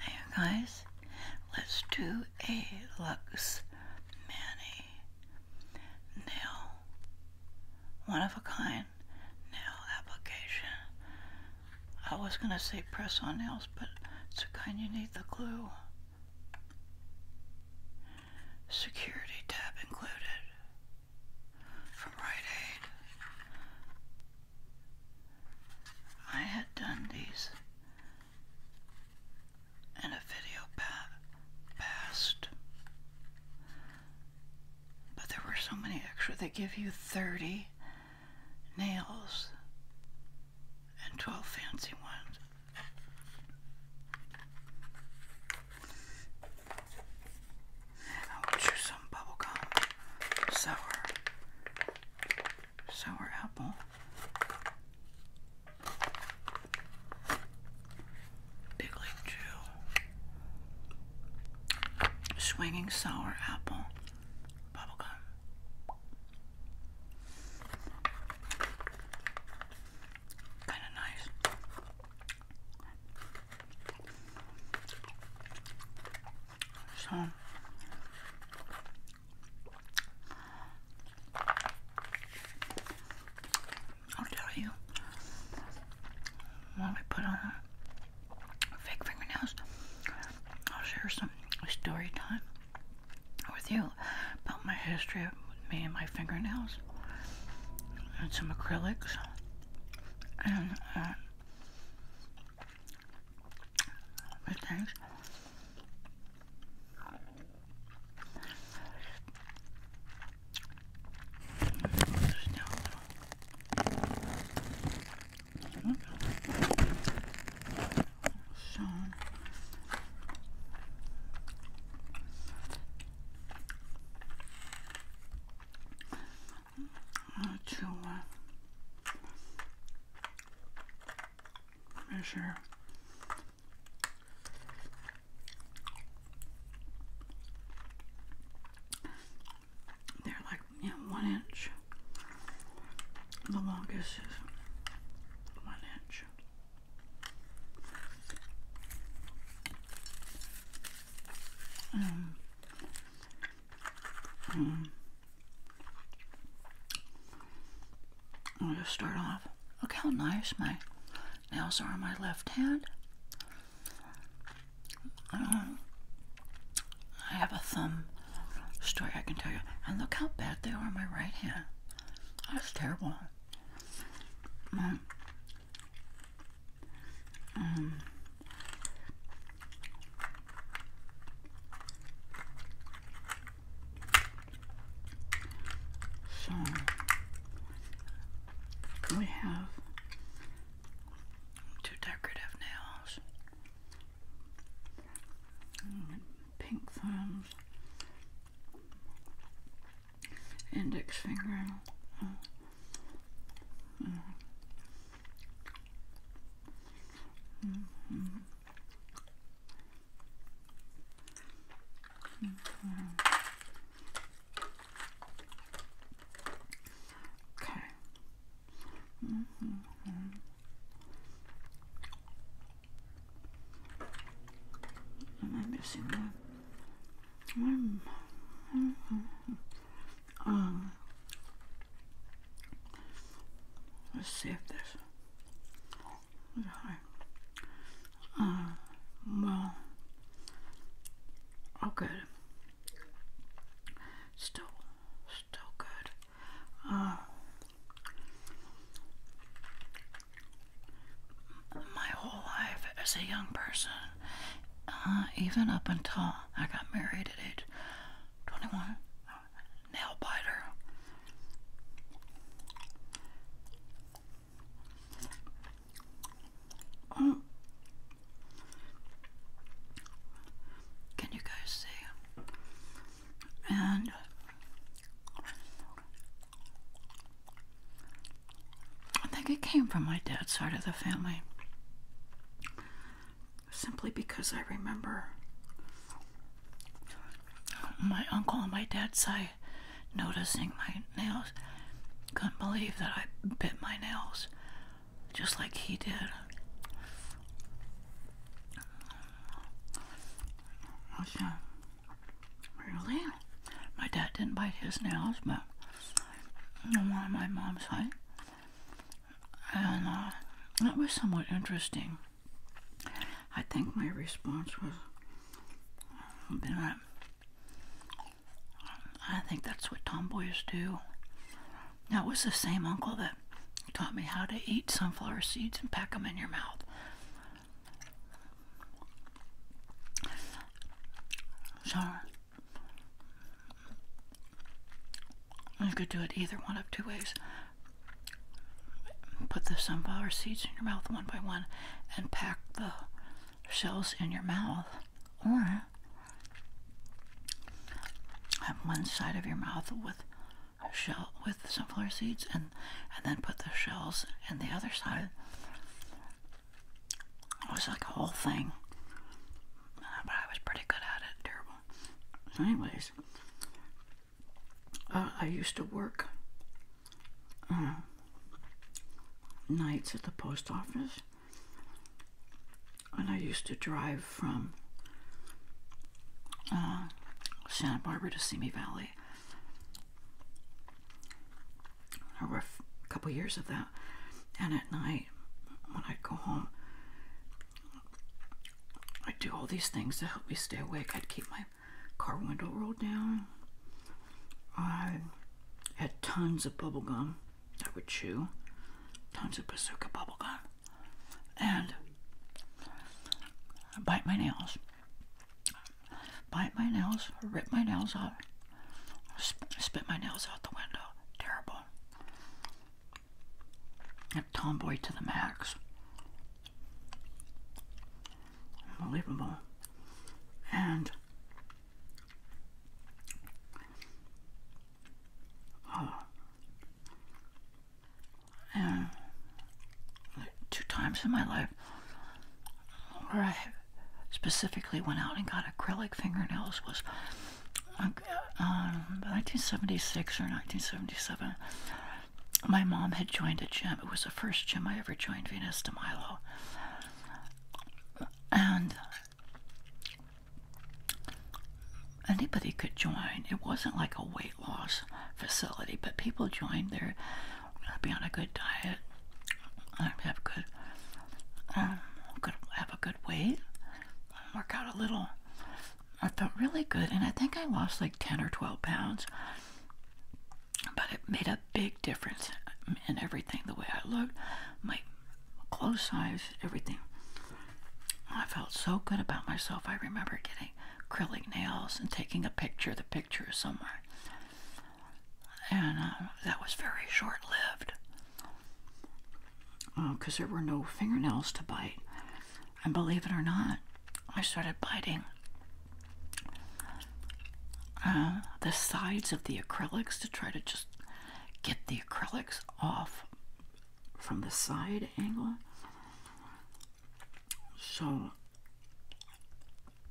Hey guys, let's do a Lux Mani nail one of a kind nail application. I was gonna say press on nails, but it's a kind you need the glue. Security tab included from Rite Aid. I had done these in a video pa past, but there were so many extra. They give you 30 nails and 12 fancy ones. I wish there's some bubblegum sour sour apple. Big League Swinging sour apple. Bubblegum. Kind of nice. So I'll tell you while we put on fake fingernails, I'll share some story time with you about my history me and my fingernails and some acrylics and uh, things. So, to uh, measure they're like you one inch the longest is one inch um, hmm. I'm gonna start off. Look how nice my nails are on my left hand. Um, I have a thumb story I can tell you. And look how bad they are on my right hand. That's terrible so we have two decorative nails, pink thumbs, index finger. Uh, -hmm. -hmm. Um, let's see if this is high. Uh, well, oh Still, still good. Uh, my whole life as a young person, uh, even up until I got married at age 21, nail biter. Mm. can you guys see? And I think it came from my dad's side of the family. Simply because I remember my uncle on my dad's side noticing my nails. Couldn't believe that I bit my nails just like he did. Okay. Really? My dad didn't bite his nails, but I'm on my mom's side. And uh, that was somewhat interesting. I think my response was uh, that uh, I think that's what tomboys do. That was the same uncle that taught me how to eat sunflower seeds and pack them in your mouth. So you could do it either one of two ways. Put the sunflower seeds in your mouth one by one and pack the shells in your mouth, or have one side of your mouth with shell with sunflower seeds and and then put the shells in the other side it was like a whole thing. Uh, but I was pretty good at it. Terrible. So anyways, uh, I used to work uh, nights at the post office. And I used to drive from Santa Barbara to Simi Valley a couple years of that. And at night, when I'd go home, I'd do all these things to help me stay awake. I'd keep my car window rolled down. I had tons of bubble gum I would chew, tons of bazooka bubble gum, and i bite my nails bite my nails, rip my nails out, spit my nails out the window. Terrible. A tomboy to the max. Unbelievable. And oh, and two times in my life where I specifically went out and got acrylic fingernails was um, 1976 or 1977. My mom had joined a gym. It was the first gym I ever joined, Venus de Milo. And anybody could join. It wasn't like a weight loss facility, but people joined there i would be on a good diet. i would have good, um, good, have a good weight. work out a little. I felt really good, and I think I lost like 10 or 12 pounds, but it made a big difference in everything the way I looked, my clothes size, everything. I felt so good about myself. I remember getting acrylic nails and taking a picture, the picture is somewhere and uh, that was very short lived because uh, there were no fingernails to bite. And believe it or not, I started biting uh, the sides of the acrylics to try to just get the acrylics off from the side angle. So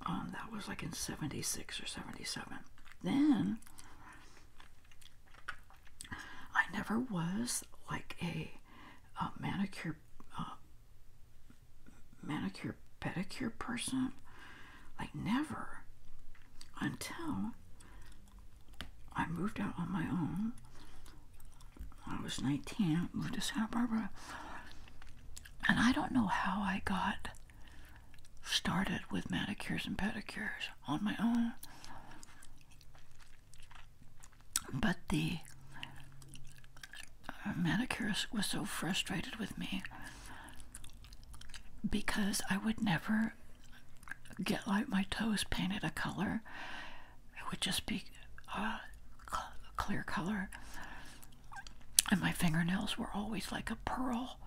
um, that was like in 76 or 77. Then I never was like a, manicure uh, manicure pedicure person, like never until I moved out on my own. I was 19, moved to Santa Barbara, and I don't know how I got started with manicures and pedicures on my own. But the uh, manicurist was so frustrated with me because I would never get like my toes painted a color. It would just be a uh, clear color and my fingernails were always like a pearl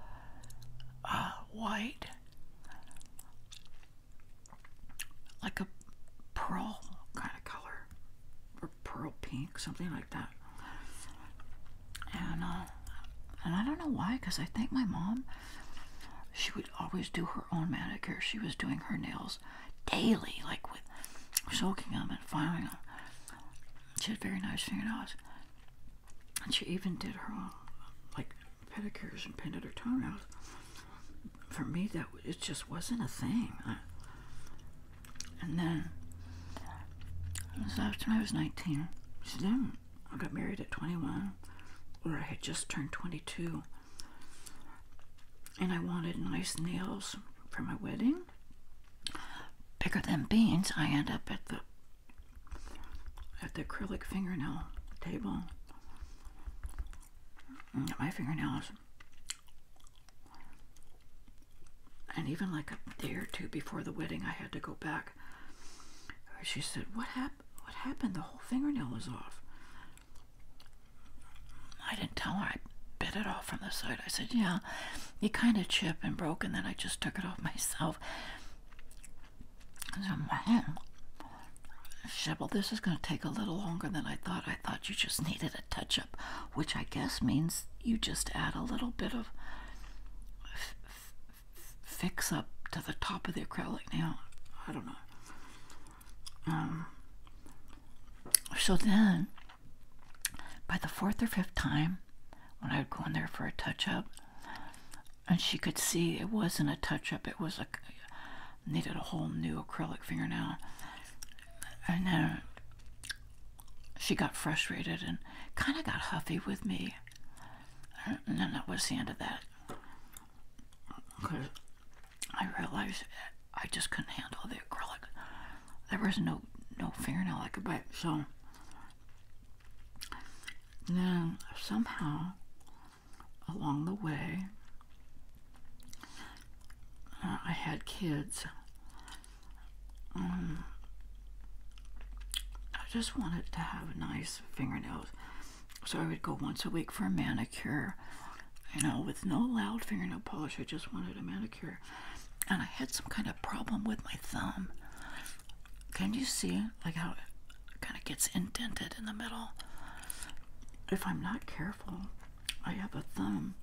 uh, white, like a pearl kind of color, or pearl pink, something like that. And uh, and I don't know why, because I think my mom, she would always do her own manicure. She was doing her nails daily, like with soaking them and filing them. She had very nice fingernails. And she even did her own, like, pedicures and painted her toenails. For me, that it just wasn't a thing. and then, so after I was 19, I got married at 21, or I had just turned 22. And I wanted nice nails for my wedding. Bigger than beans, I end up at the at the acrylic fingernail table. Mm, my fingernails. And even like a day or two before the wedding, I had to go back. She said, what, hap- what happened? The whole fingernail is off. I didn't tell her. I bit it off from the side. I said, yeah, it kind of chipped and broke, and then I just took it off myself. So, man, this is going to take a little longer than I thought. I thought you just needed a touch up, which I guess means you just add a little bit of fix up to the top of the acrylic nail. I don't know. Um, so then, by the fourth or fifth time, when I would go in there for a touch up, and she could see it wasn't a touch-up it was a needed a whole new acrylic fingernail and then she got frustrated and kind of got huffy with me and then that was the end of that because I realized I just couldn't handle the acrylic there was no no fingernail I could bite so and then somehow along the way, uh, I had kids. Um, I just wanted to have nice fingernails. So I would go once a week for a manicure, you know, with no loud fingernail polish. I just wanted a manicure. And I had some kind of problem with my thumb. Can you see like how it kind of gets indented in the middle? If I'm not careful, I have a thumb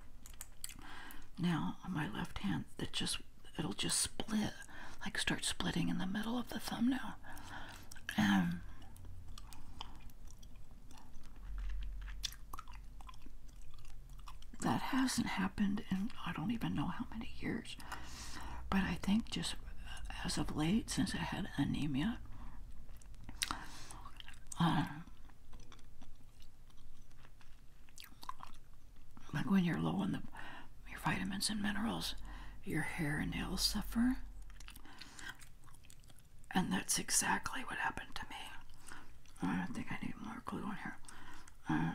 now on my left hand that just it'll just split, like start splitting in the middle of the thumb now. Um, that hasn't happened in I don't even know how many years. But I think just as of late, since I had anemia, uh, like when you're low in the, your vitamins and minerals, your hair and nails suffer. And that's exactly what happened to me. I don't think I need more glue on here. Uh,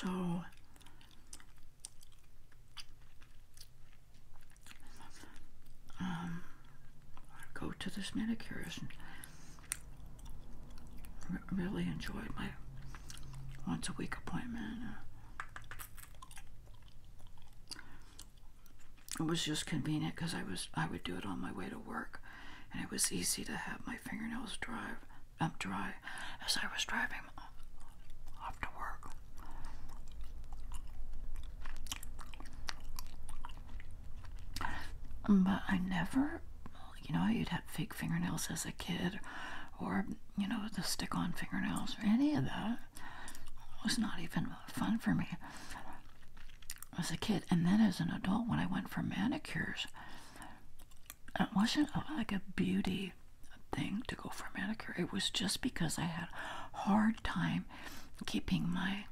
so um, I go to this manicurist and really enjoyed my once a week appointment. Uh. It was just convenient because I was I would do it on my way to work, and it was easy to have my fingernails drive I'm dry as I was driving off to work. But I never, you know, you'd have fake fingernails as a kid, or, you know, the stick on fingernails, or any of that. was not even fun for me as a kid. And then as an adult, when I went for manicures, it wasn't like a beauty thing to go for manicure. It was just because I had a hard time keeping my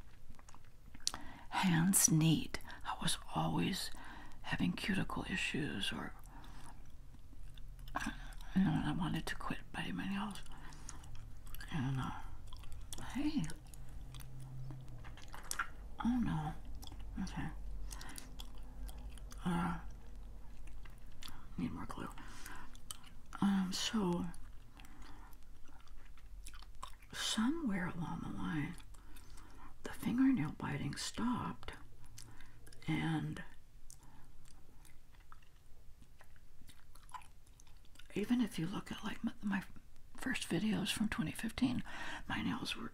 hands neat. I was always having cuticle issues or you know, I wanted to quit biting my nails. And uh, hey, oh no, okay. Uh, need more glue. Um, so somewhere along the line, the fingernail biting stopped, and even if you look at like my first videos from 2015, my nails were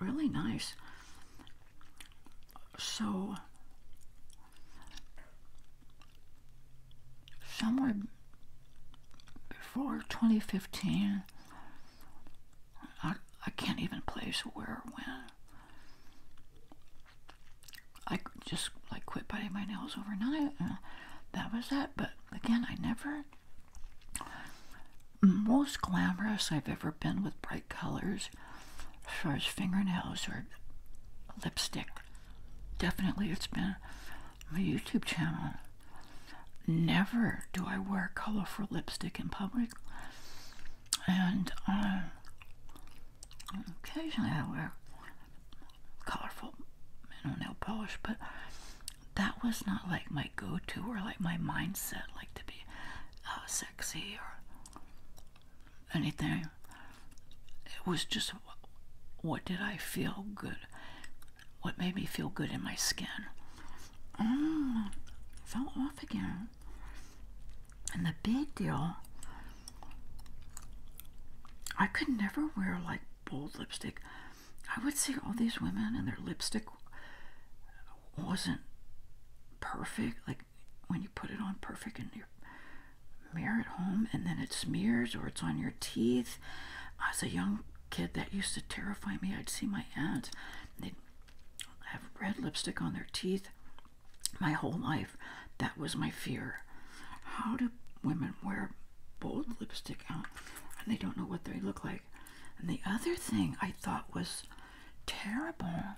really nice. So, somewhere before 2015, I, I can't even place where or when. I just like quit biting my nails overnight, uh, that was it. But again, I never most glamorous I've ever been with bright colors, as far as fingernails or lipstick. Definitely, it's been my YouTube channel. Never do I wear colorful lipstick in public, and um, occasionally I wear colorful you nail polish, but that was not like my go to or like my mindset, like to be uh, sexy or anything. It was just what did I feel good? What made me feel good in my skin? Mm, fell off again. And the big deal, I could never wear like bold lipstick. I would see all these women and their lipstick wasn't perfect, like when you put it on perfect in your mirror at home and then it smears or it's on your teeth. As a young kid, that used to terrify me. I'd see my aunts, they'd have red lipstick on their teeth my whole life. That was my fear. How do women wear bold lipstick out and they don't know what they look like? And the other thing I thought was terrible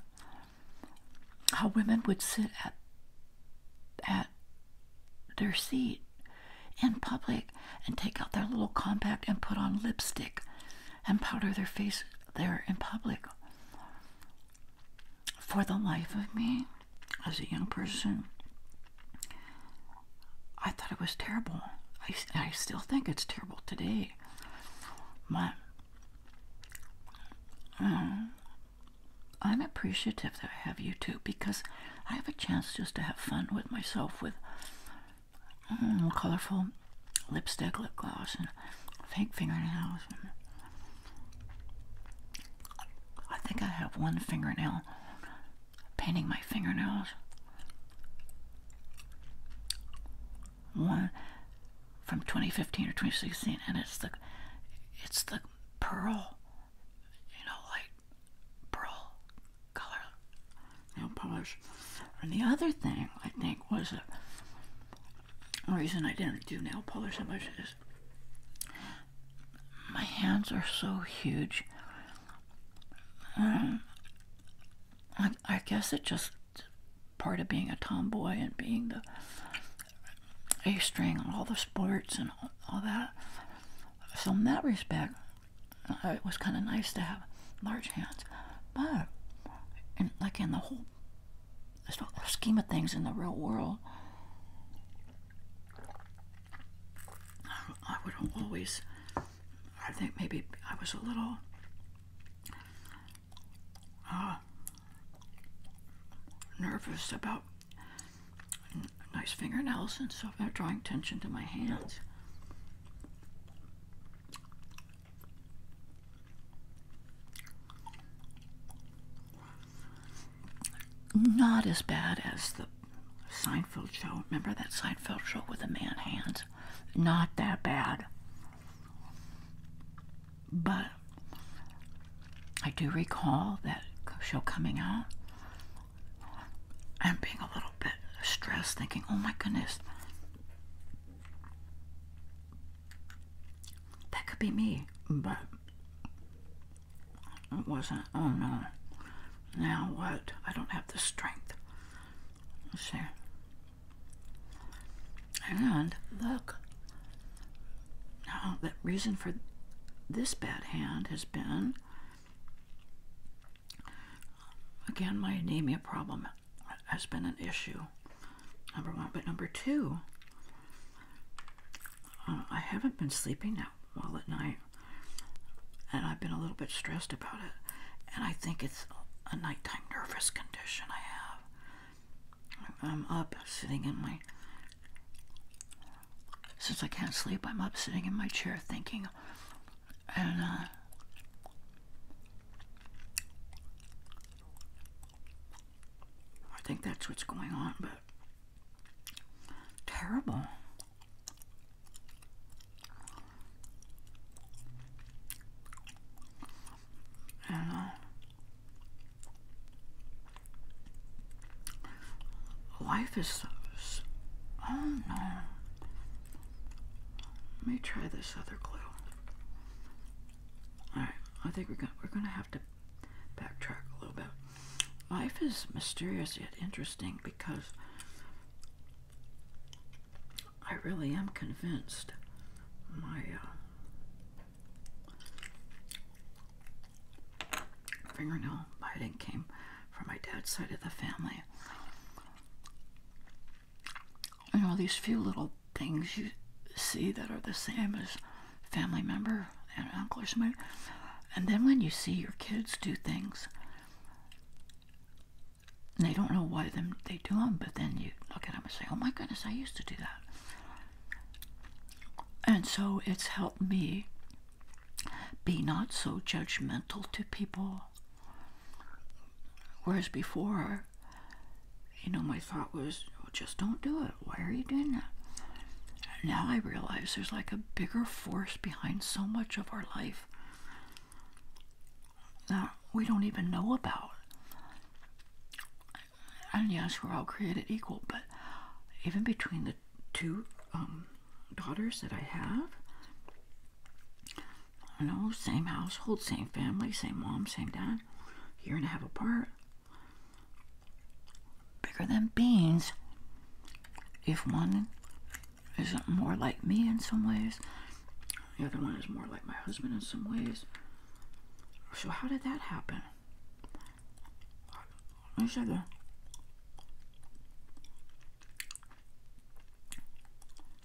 how women would sit at at their seat in public and take out their little compact and put on lipstick and powder their face there in public. For the life of me, as a young person, I thought it was terrible. I, I still think it's terrible today. But um, I'm appreciative that I have you YouTube because I have a chance just to have fun with myself with mm, colorful lipstick, lip gloss, and fake fingernails. I think I have one fingernail painting my fingernails one from 2015 or 2016, and it's the it's the pearl, you know, like pearl color you polish. And the other thing I think was a reason I didn't do nail polish so much is my hands are so huge. Um, I guess it just part of being a tomboy and being the A string on all the sports and all, that. So, in that respect, uh, it was kind of nice to have large hands. But, like in the whole scheme of things in the real world, um, I would not always, I think maybe I was a little uh, nervous about nice fingernails and stuff. They're drawing attention to my hands. Not as bad as the Seinfeld show. Remember that Seinfeld show with the man hands? Not that bad. But I do recall that show coming out I'm being a little bit stressed, thinking, oh my goodness, that could be me. But it wasn't, oh no, now what? I don't have the strength. let and look, now the reason for this bad hand has been again my anemia problem has been an issue. Number one, but number two, uh, I haven't been sleeping well at night, and I've been a little bit stressed about it, and I think it's a nighttime nervous condition I have. I'm up sitting in my. Since I can't sleep, I'm up sitting in my chair thinking, and uh, I think that's what's going on, but terrible. I know. Life is so, Oh no. Let me try this other glue. Alright, I think we're we're gonna have to backtrack a little bit. Life is mysterious yet interesting because I really am convinced my uh, fingernail biting came from my dad's side of the family. You know, these few little things you see that are the same as family member and uncle or somebody. And then when you see your kids do things and I don't know why them they do them, but then you look at them and say, "Oh my goodness, I used to do that." And so it's helped me be not so judgmental to people. Whereas before, you know, my thought was, oh, just don't do it. Why are you doing that? Now I realize there's like a bigger force behind so much of our life that we don't even know about. And yes, we're all created equal, but even between the two um, daughters that I have, you know, same household, same family, same mom, same dad, year and a half apart, bigger than beans. If one isn't more like me in some ways, the other one is more like my husband in some ways. So how did that happen? I said that.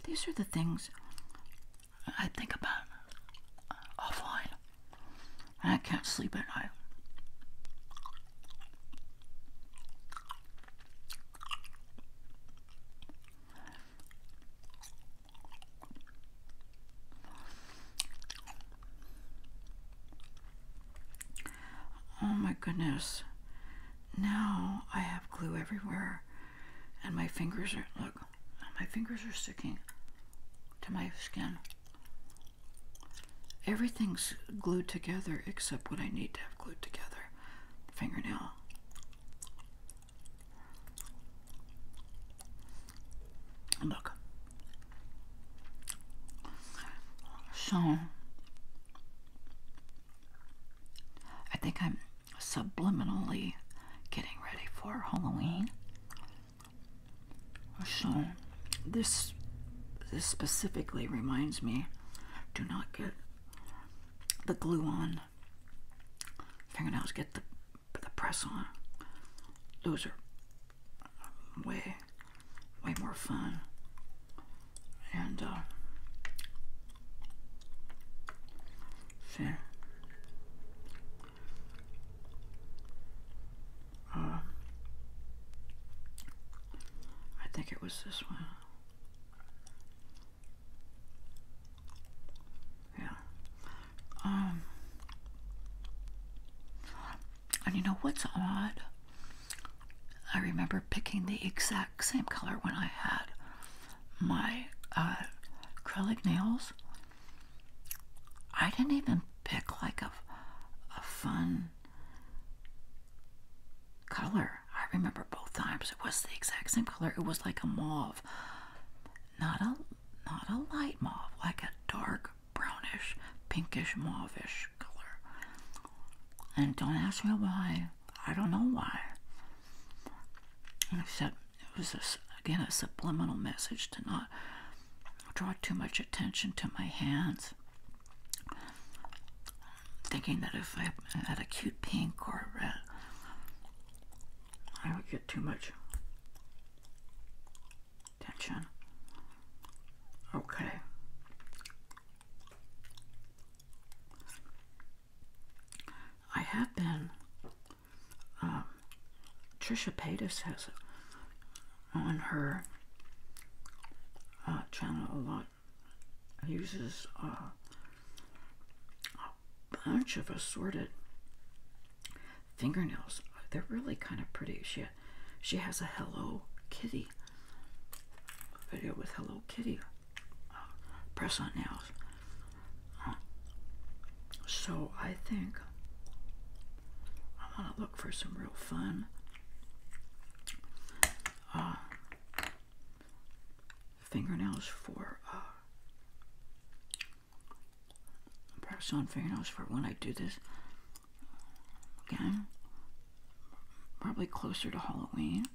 These are the things I think about offline. And I can't sleep at night. Oh my goodness. Now I have glue everywhere and my fingers are look, my fingers are sticking to my skin. Everything's glued together except what I need to have glued together. fingernail. Look. So I think I'm subliminally getting ready for Halloween. So this this specifically reminds me do not get the glue on fingernails get the put the press on. Those are way, way more fun. And, see. Uh, uh, I think it was this one. Yeah. Um. And you know what's odd? I remember picking the exact same color when I had my uh, acrylic nails. I didn't even pick like a, a fun color. I remember both times it was the exact same color. It was like a mauve not a not a light mauve, like a dark brownish, pinkish mauvish color. And don't ask me why. I don't know why. Except it was a, again a subliminal message to not draw too much attention to my hands. Thinking that if I had a cute pink or red, I would get too much Tension. Okay. I have been. Um, Trisha Paytas has on her uh, channel a lot uses uh, bunch of assorted fingernails. They're really kind of pretty. She she has a Hello Kitty video with Hello Kitty uh, press on nails. Uh, so I think I want to look for some real fun. Uh, fingernails for Practice on fingernails for when I do this again. Probably closer to Halloween.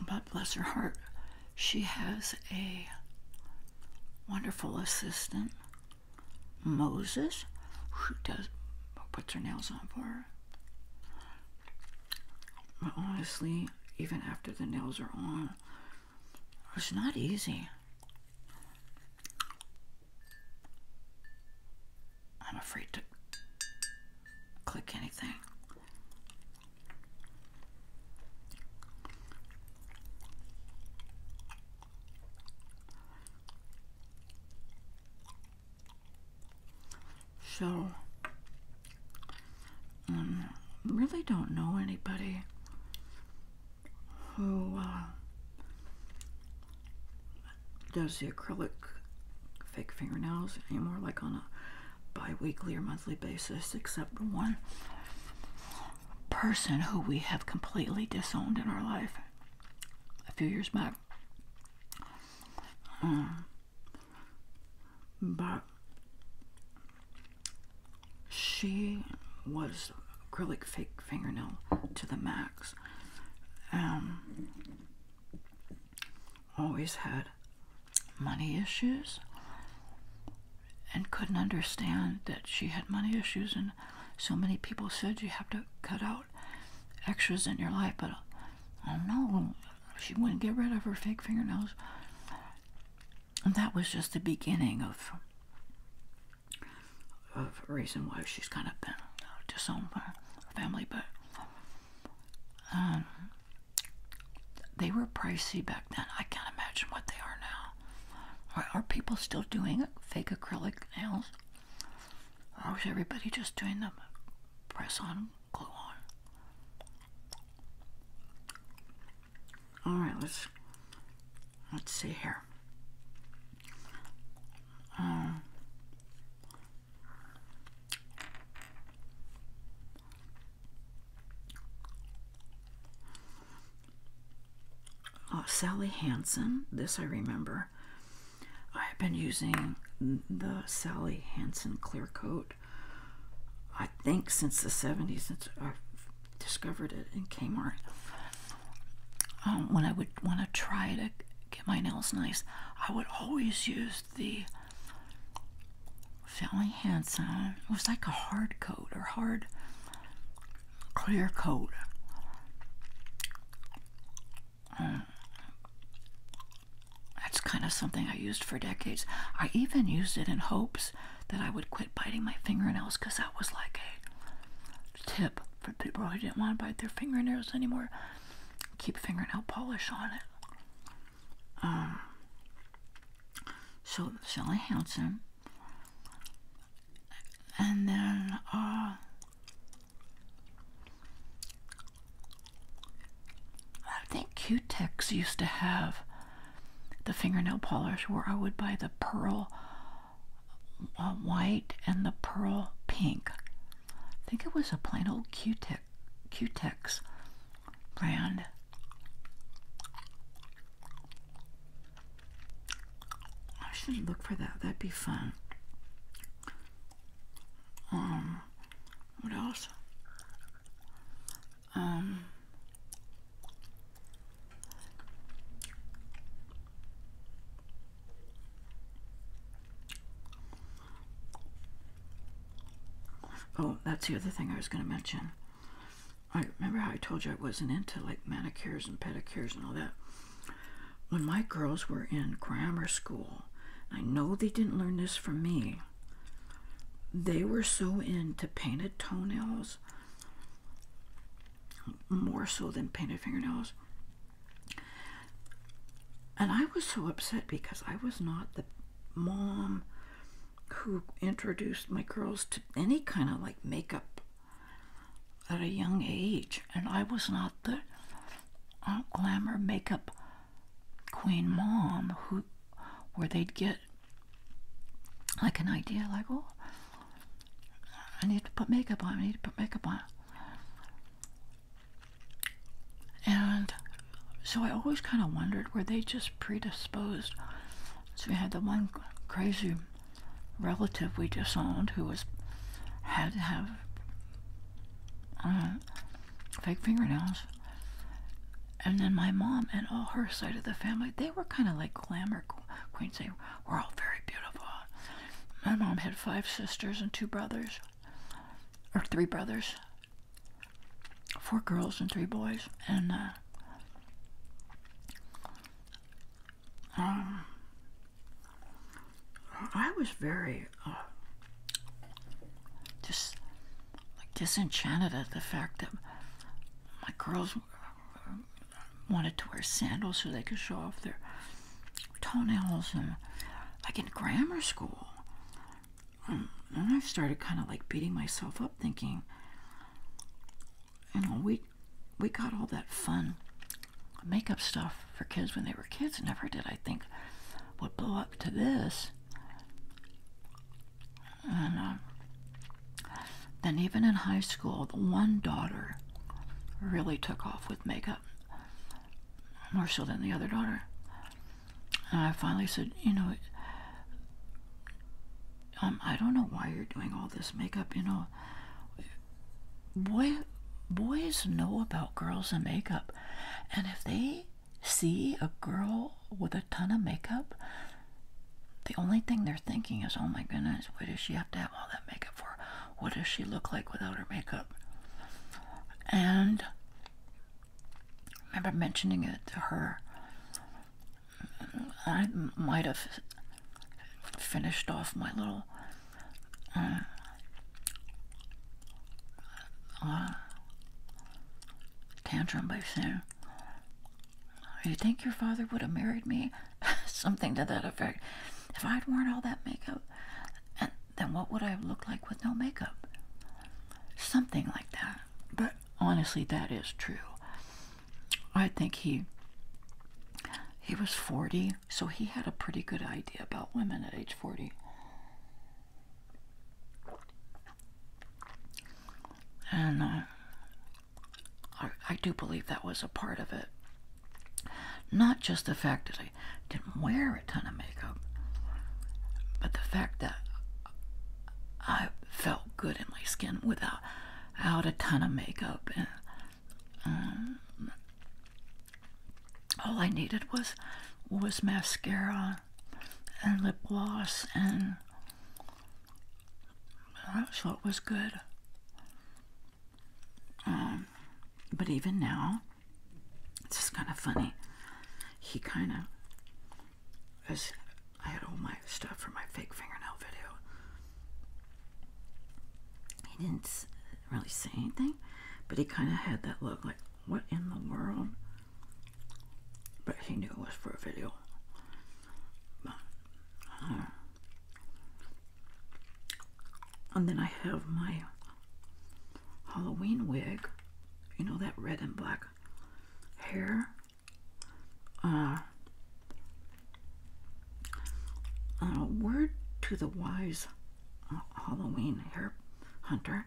But bless her heart, she has a wonderful assistant, Moses, who does puts her nails on for her. But honestly, even after the nails are on, it's not easy. I'm afraid to click anything. So, um, really don't know anybody who uh, does the acrylic fake fingernails anymore, like on a biweekly or monthly basis, except one person who we have completely disowned in our life a few years back. Um, but she was acrylic fake fingernail to the max. Um, always had money issues and couldn't understand that she had money issues and so many people said you have to cut out extras in your life but oh no she wouldn't get rid of her fake fingernails and that was just the beginning of of reason why she's kind of been disowned by her family but um, they were pricey back then. I can't imagine what they are now. Are, are people still doing fake acrylic nails? Or is everybody just doing them press on, glue on? Alright, let's let's see here. Um, Oh, Sally Hansen. This I remember. I've been using the Sally Hansen clear coat, I think, since the 70s, since i discovered it in Kmart. Um, when I would want to try to get my nails nice, I would always use the Fairly handsome. It was like a hard coat or hard clear coat. Mm. That's kind of something I used for decades. I even used it in hopes that I would quit biting my fingernails because that was like a tip for people who didn't want to bite their fingernails anymore. Keep fingernail polish on it. Um, so Sally Hansen, and then uh, I think Q-Tex used to have the fingernail polish where I would buy the pearl uh, white and the pearl pink. I think it was a plain old Q-Tex Q-Tex brand. I should look for that. That'd be fun. Um, what else? Um, Oh, that's the other thing I was going to mention. I remember how I told you I wasn't into like manicures and pedicures and all that. When my girls were in grammar school, I know they didn't learn this from me. They were so into painted toenails, more so than painted fingernails, and I was so upset because I was not the mom who introduced my girls to any kind of like makeup at a young age. And I was not the uh, glamour makeup queen mom who, where they'd get like an idea like, oh, I need to put makeup on, I need to put makeup on. And so I always kind of wondered were they just predisposed? So we had the one crazy relative we disowned who was had to have uh, fake fingernails. And then my mom and all her side of the family, they were kind of like glamour queens. They were all very beautiful. My mom had five sisters and two brothers, or three brothers four girls and three boys, and uh, um, I was very just uh, like disenchanted at the fact that my girls uh, wanted to wear sandals so they could show off their toenails and like in grammar school and I've started kind of like beating myself up, thinking, you know, we we got all that fun makeup stuff for kids when they were kids. Never did I think would blow up to this. And um, then even in high school, the one daughter really took off with makeup more so than the other daughter. And I finally said, you know, um, I don't know why you're doing all this makeup. You know, boy, boys know about girls and makeup, and if they see a girl with a ton of makeup, the only thing they're thinking is, oh my goodness, what does she have to have all that makeup for? What does she look like without her makeup? And I remember mentioning it to her. I might have finished off my little uh, uh, tantrum by saying, Do you think your father would have married me? Something to that effect. If I'd worn all that makeup, and then what would I have looked like with no makeup? Something like that. But honestly, that is true. I think he he was 40, so he had a pretty good idea about women at age 40. And uh, I, do believe that was a part of it. Not just the fact that I didn't wear it a ton of makeup, but the fact that I felt good in my skin without, without a ton of makeup, and um, all I needed was was mascara and lip gloss, and so it was good. Um, but even now, it's just kind of funny. He kind of, as I had all my stuff for my fake fingernail video, he didn't really say anything, but he kind of had that look like, what in the world? But he knew it was for a video. Uh, and then I have my Halloween wig. You know that red and black black hair. Uh, uh, word to the wise uh, Halloween hair hunter.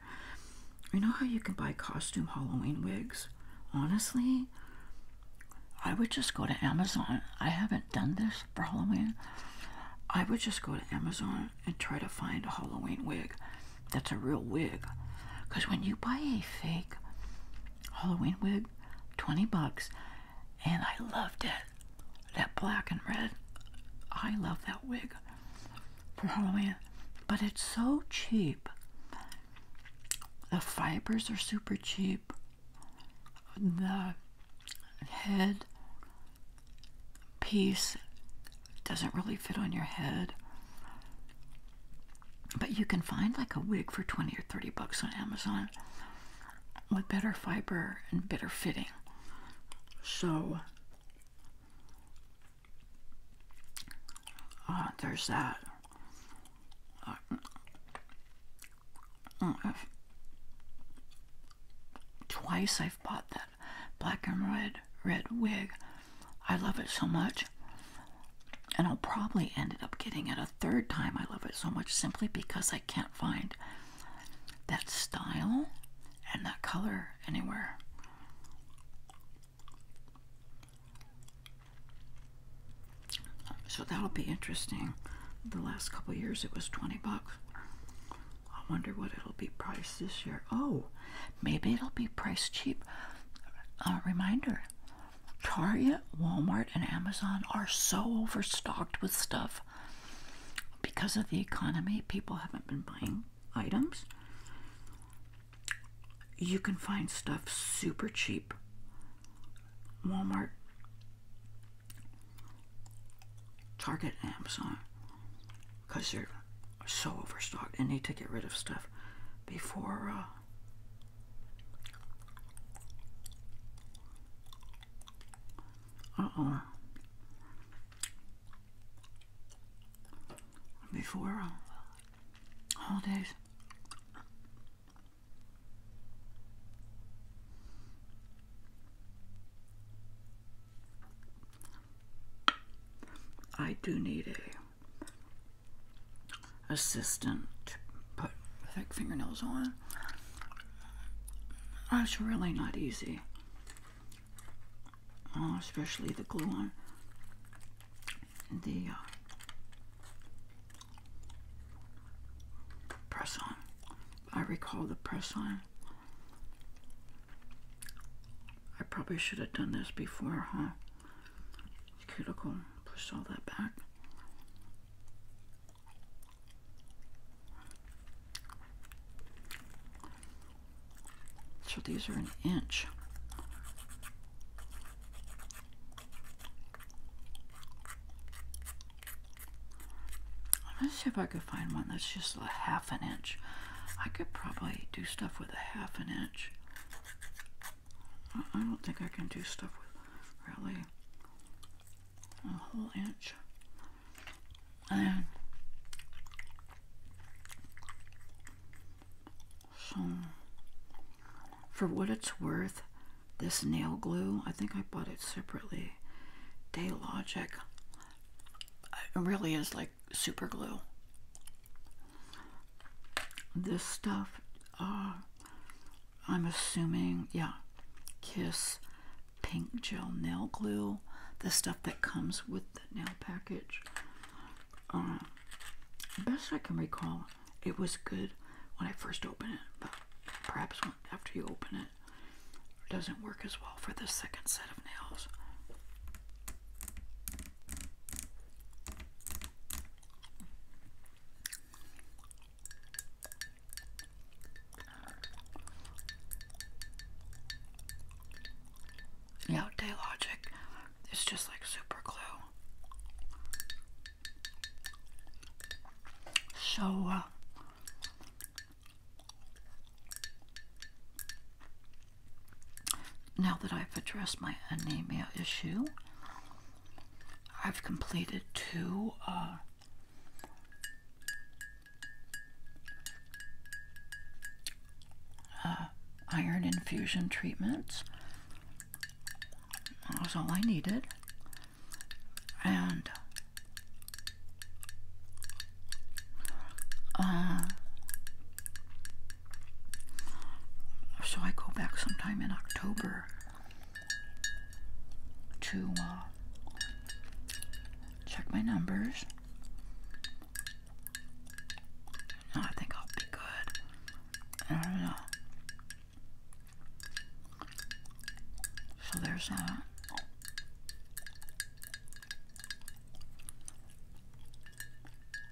You know how you can buy costume Halloween wigs? Honestly, I would just go to Amazon. I haven't done this for Halloween. I would just go to Amazon and try to find a Halloween wig that's a real wig. Because when you buy a fake Halloween wig, 20 bucks, and I loved it. That black and red, I love that wig for Halloween. But it's so cheap. The fibers are super cheap. The head piece doesn't really fit on your head. But you can find like a wig for 20 or 30 bucks on Amazon with better fiber and better fitting. So uh, there's that. Uh, mm, mm, mm. twice I've bought that black and red red wig. I love it so much. And I'll probably end up getting it a third time. I love it so much simply because I can't find that style and that color anywhere. So that'll be interesting. The last couple years it was 20 bucks. I wonder what it'll be priced this year. Oh, Maybe it'll be priced cheap. reminder Target, Walmart, and Amazon are so overstocked with stuff because of the economy, people haven't been buying items. You can find stuff super cheap. Walmart, Target, Amazon because you're so overstocked and need to get rid of stuff before uh, uh-oh before uh, holidays I do need a assistant to put thick fingernails on. Oh, it's really not easy, oh, especially the glue on the uh, press on. I recall the press on. I probably should have done this before, huh? cuticle, push all that back. So these are an inch. Let's see if I could find one that's just a half an inch. I could probably do stuff with a half an inch. I don't think I can do stuff with really a whole inch. And so, for what it's worth, this nail glue, I think I bought it separately. Daylogic. It really is like super glue this stuff uh, I'm assuming, yeah, Kiss Pink Gel Nail Glue, the stuff that comes with the nail package. Uh, best I can recall, it was good when I first opened it, but perhaps after you open it, it doesn't work as well for the second set of nails. Yeah, logic. It's just like super glue. So, uh, now that I've addressed my anemia issue, I've completed two uh, uh, iron infusion treatments. That was all I needed. And uh, so I go back sometime in October to uh, check my numbers. I think I'll be good. I don't know. So there's that. Uh,